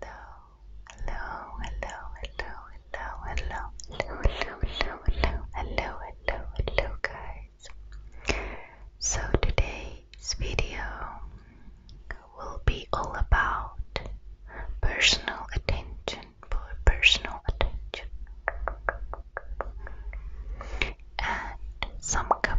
hello, hello, hello, hello, hello, hello, hello, hello, hello, hello, hello, guys. So today's video will be all about personal attention for personal attention and some cup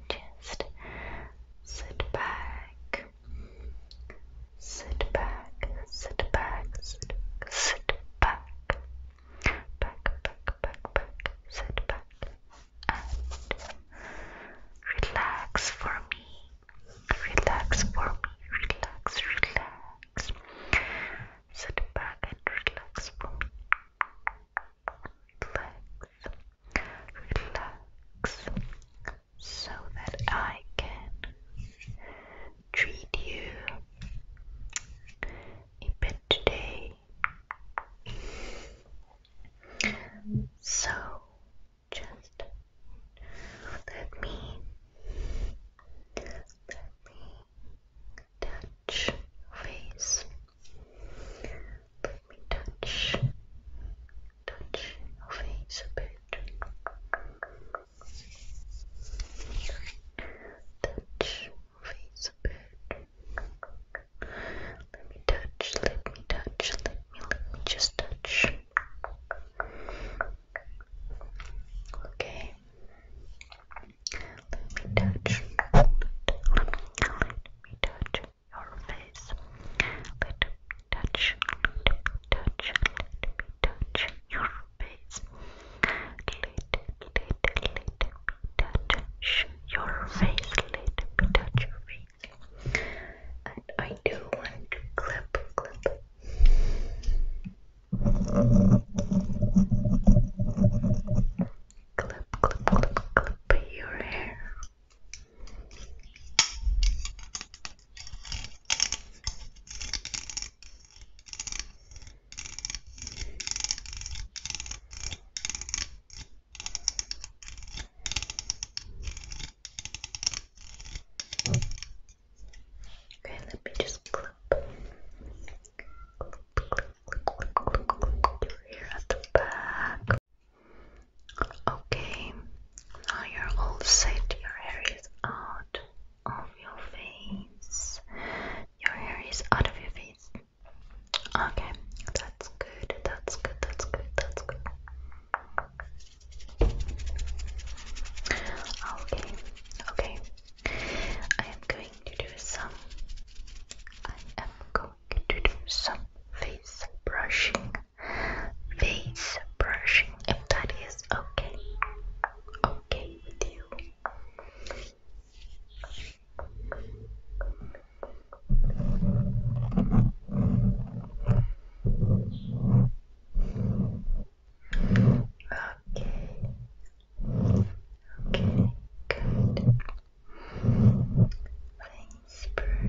just sit back, sit back, sit back, sit, back, back, back, back, back, sit back, and relax for me. Relax for me. Relax, relax. Sit back and relax for me relax, so that I can treat you a bit today. So just let me let me touch face. Let me touch, touch face a bit. Touch face a bit. Let me touch, let me touch, let me, let me just touch. Okay. Let me touch. Let, let me touch your face. Let me touch. Let me touch. Let me touch your face. Let, let, let me touch your face. Let me touch your face. And I do want to clip, clip. Clip, clip, clip, clip your hair. Okay, let me just clip your hair at the back. Okay, now you're all set. Your hair is out of your face. Your hair is out of your face. Okay, that's good. That's good. That's good. That's good. Okay, okay, I am going to do some I am going to do some face brushing face brushing if that is okay okay with you Okay. Okay, good. Thanks, brush.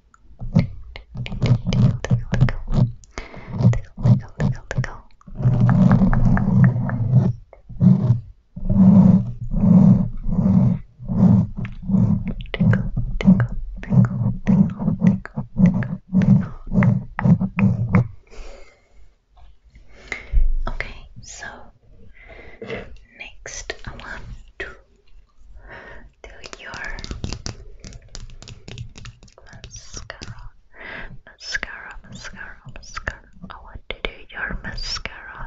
Tickle, tickle, tickle. Tickle, tickle, tickle, tickle. Tickle, tickle, tickle, tickle, tickle, tickle, Okay, so next I want to do your mascara, mascara, mascara, mascara. I want to do your mascara.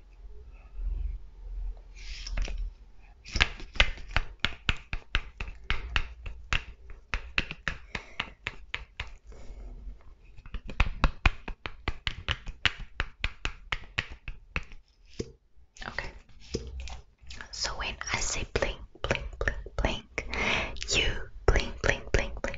Okay. So when I say blink, blink, blink, blink, you blink, blink, blink, blink.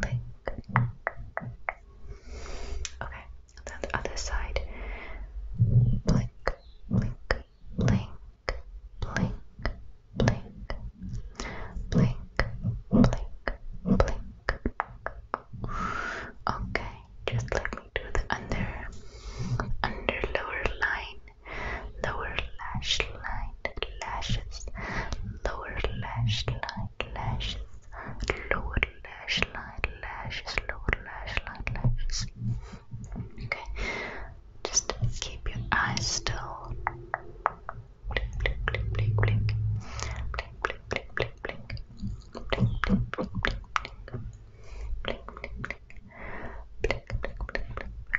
blink. Okay, then the other side. Blink, blink, blink, blink, blink, blink, blink, blink. Okay, just let me do the under, under lower line, lower lash line, lashes, lower lash line lashes, lower lash line, lashes, lower lash line, lashes. Okay, just keep your eyes still. Blink, blink, blink, blink, blink. Blink, blink, blink, blink, blink. Blink, blink, blink, blink, blink. Blink, blink, blink, blink, blink.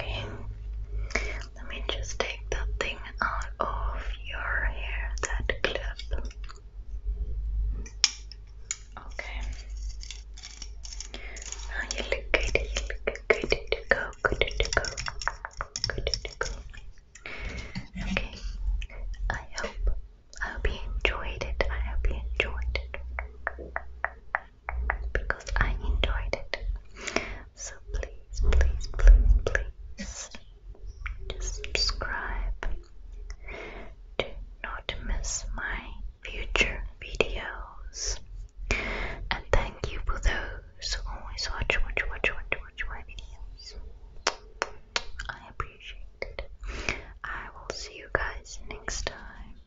Okay, let me just take that thing out of your hair, that clip. Okay. Now ah, you look good, you look good to go, good go, good go. Okay, I hope, I hope you enjoyed it, I hope you enjoyed it because I enjoyed it. So please, please, please, please just subscribe to not miss my future videos. And thank you for those who always watch, watch, watch, watch, watch my videos. I appreciate it. I will see you guys next time.